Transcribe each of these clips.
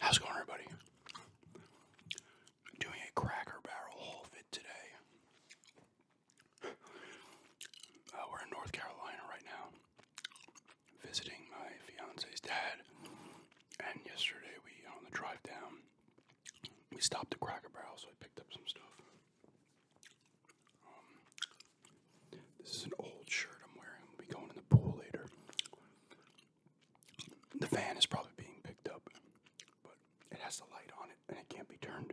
How's it going, everybody? doing a Cracker Barrel haul fit today. Uh, we're in North Carolina right now, visiting my fiance's dad. And yesterday, we on the drive down, we stopped at Cracker Barrel, so I picked up some stuff. Um, this is an old shirt I'm wearing. We'll be going in the pool later. The fan is probably being picked up, but it has the light on it and it can't be turned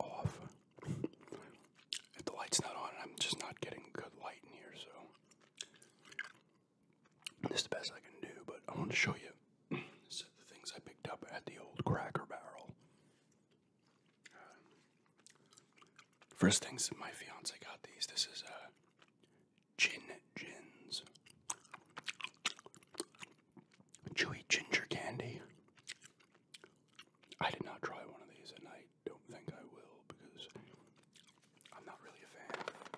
off. If the light's not on, I'm just not getting good light in here, so this is the best I can do, but I want to show you the things I picked up at the old cracker barrel. Um, first things my fiance got these. This is a uh, Gin Gins. Chewy ginger candy. I did not try one of these and I don't think I will because I'm not really a fan of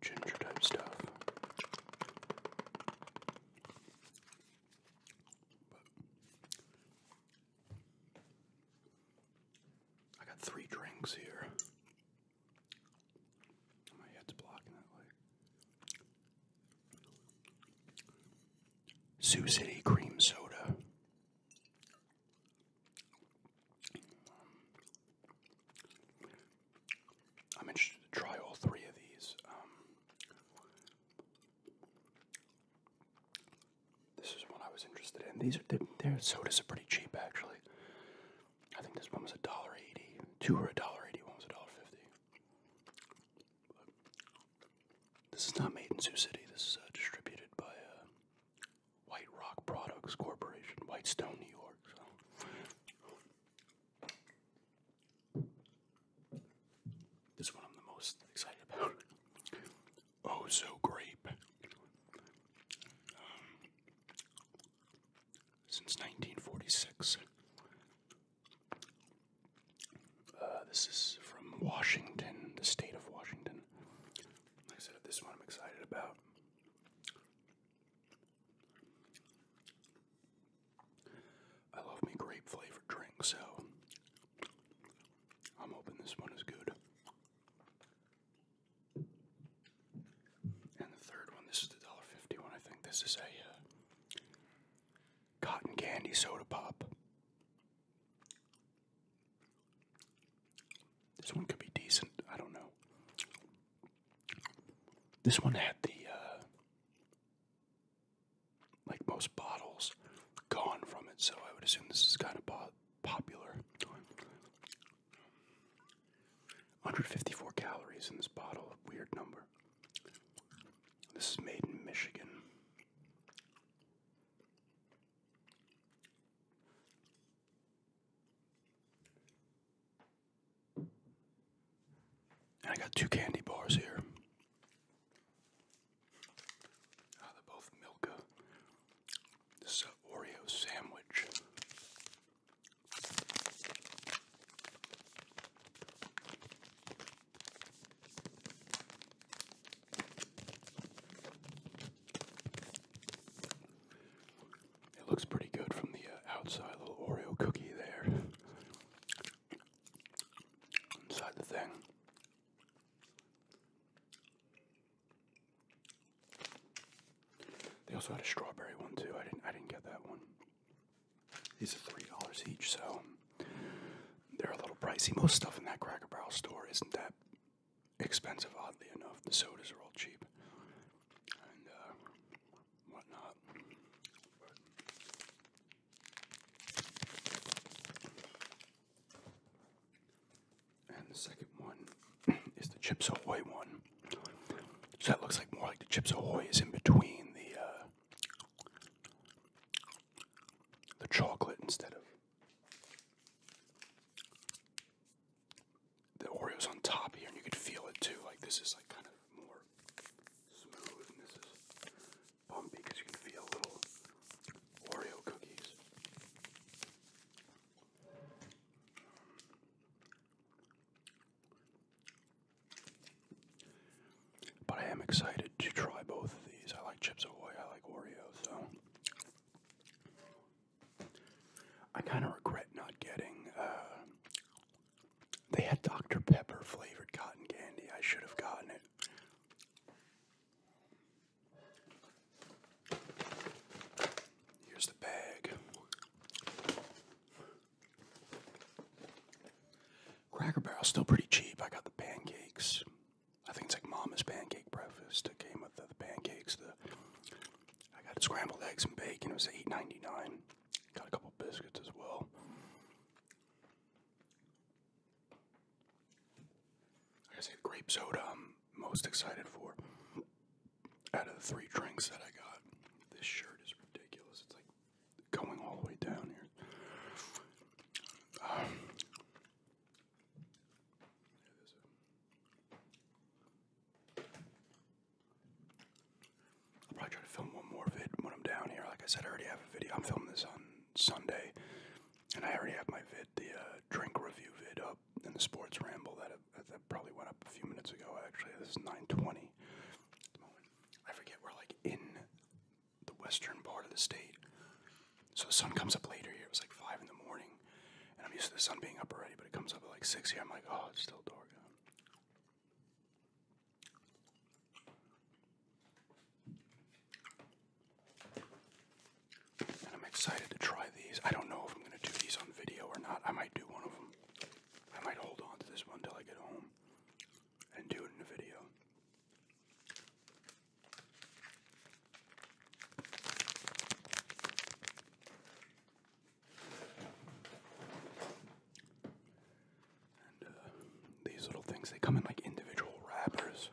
ginger type stuff. I got three drinks here. My head's blocking that way. Sioux City cream soda. I'm interested to try all three of these. Um, this is what I was interested in. These are their sodas are pretty cheap actually. I think this one was a dollar eighty. Two were a dollar eighty. One was a dollar fifty. this is not made in Sioux City. This is uh, distributed by uh, White Rock Products Corporation, White Stone, New York. This one I'm the most excited about. Oh, so grape. Um, since 1946. Uh, this is from Washington, the state of Washington. Like I said, this one I'm excited about. I love me grape flavored drink, so I'm hoping this one is good. And the third one, this is the dollar fifty one. I think this is a uh, cotton candy soda pop. This one could be decent. I don't know. This one had the uh, like most bottles, gone from it. So I would assume this is kind of popular. 154 calories in this bottle, weird number. This is made in Michigan. I got two candy bars here. Ah, they're both Milka. This is an Oreo sandwich. It looks pretty good from the uh, outside, little Oreo cookie there inside the thing. They also had a strawberry one too. I didn't I didn't get that one. These are three dollars each, so they're a little pricey. Most stuff in that Cracker Barrel store isn't that expensive, oddly enough. The sodas are all cheap and uh, whatnot. And the second one is the Chips Ahoy one. So that looks like more like the Chips Ahoy is in between the uh, the chocolate instead of the Oreos on top here, and you could feel it too. Like this is like kind of more smooth, this is bumpy because you can feel little Oreo cookies. But I am excited to try both of these. I like Chips Ahoy, I like Oreos. so. I kind of regret not getting uh, they had Dr. Pepper flavored cotton candy. I should have gotten it. Here's the bag. Cracker Barrel's still pretty cheap. I got the pancakes. I think it's like Mama's pancake breakfast. It came with the pancakes. The I got scrambled eggs and bacon. It was eight ninety nine. Got a couple biscuits as well. I guess grape soda I'm most excited for. Out of the three drinks that I got, this shirt is ridiculous. It's like going all the way down here. Um, yeah, I'll probably try to film one more vid when I'm down here. Like I said, I already have a video. I'm filming this on Sunday, and I already have my vid, the uh, drink review vid, up in the sports ramble that uh, that probably went up a few minutes ago. Actually, this is 9:20. I forget we're like in the western part of the state, so the sun comes up later here. It was like five in the morning, and I'm used to the sun being up already, but it comes up at like six here. I'm like, oh, it's still dark. And I'm excited to try these. I don't know if I'm going to do these on video or not. I might do one of them. I might hold on to this one until I get home and do it in a video. Uh, these little things, they come in like individual wrappers.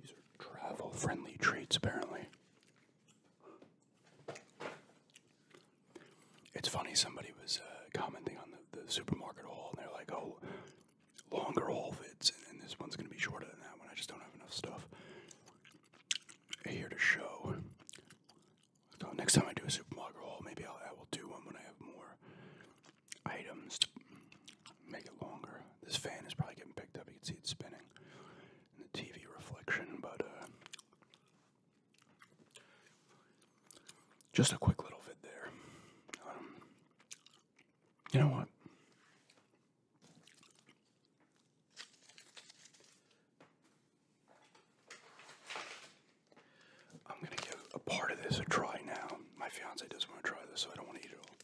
These are travel friendly treats, apparently. It's funny, somebody was uh, commenting on the, the supermarket haul, and they're like, oh, longer haul vids, and, this one's going to be shorter than that one. I just don't have enough stuff here to show. So next time I do a supermarket haul, maybe I'll, I will do one when I have more items to make it longer. This fan is probably getting picked up. You can see it spinning in the TV reflection, but uh, just a quick little vid there. Um, you know what? I'm going to give a part of this a try now. My fiance doesn't want to try this, so I don't want to eat it all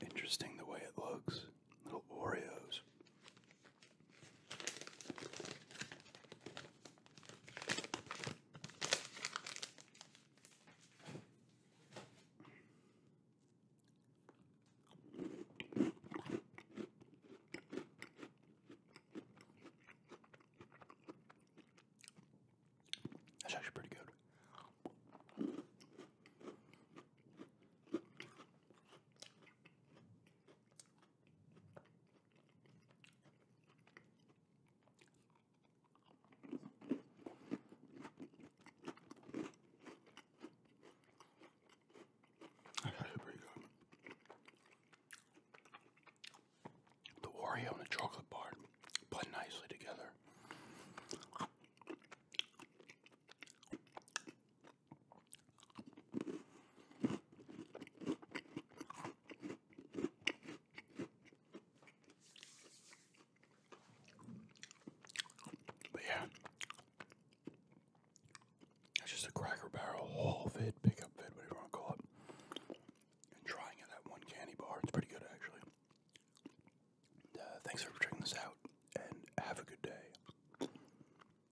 interesting the way it looks. Little Oreos. That's actually pretty good. That's actually pretty The Wario and the chocolate bar blend nicely together. But yeah, it's just a Cracker Barrel haul vid, pickup vid, whatever you call it. And trying it at one candy bar, it's pretty good actually. Uh, thanks for checking this out, and have a good day.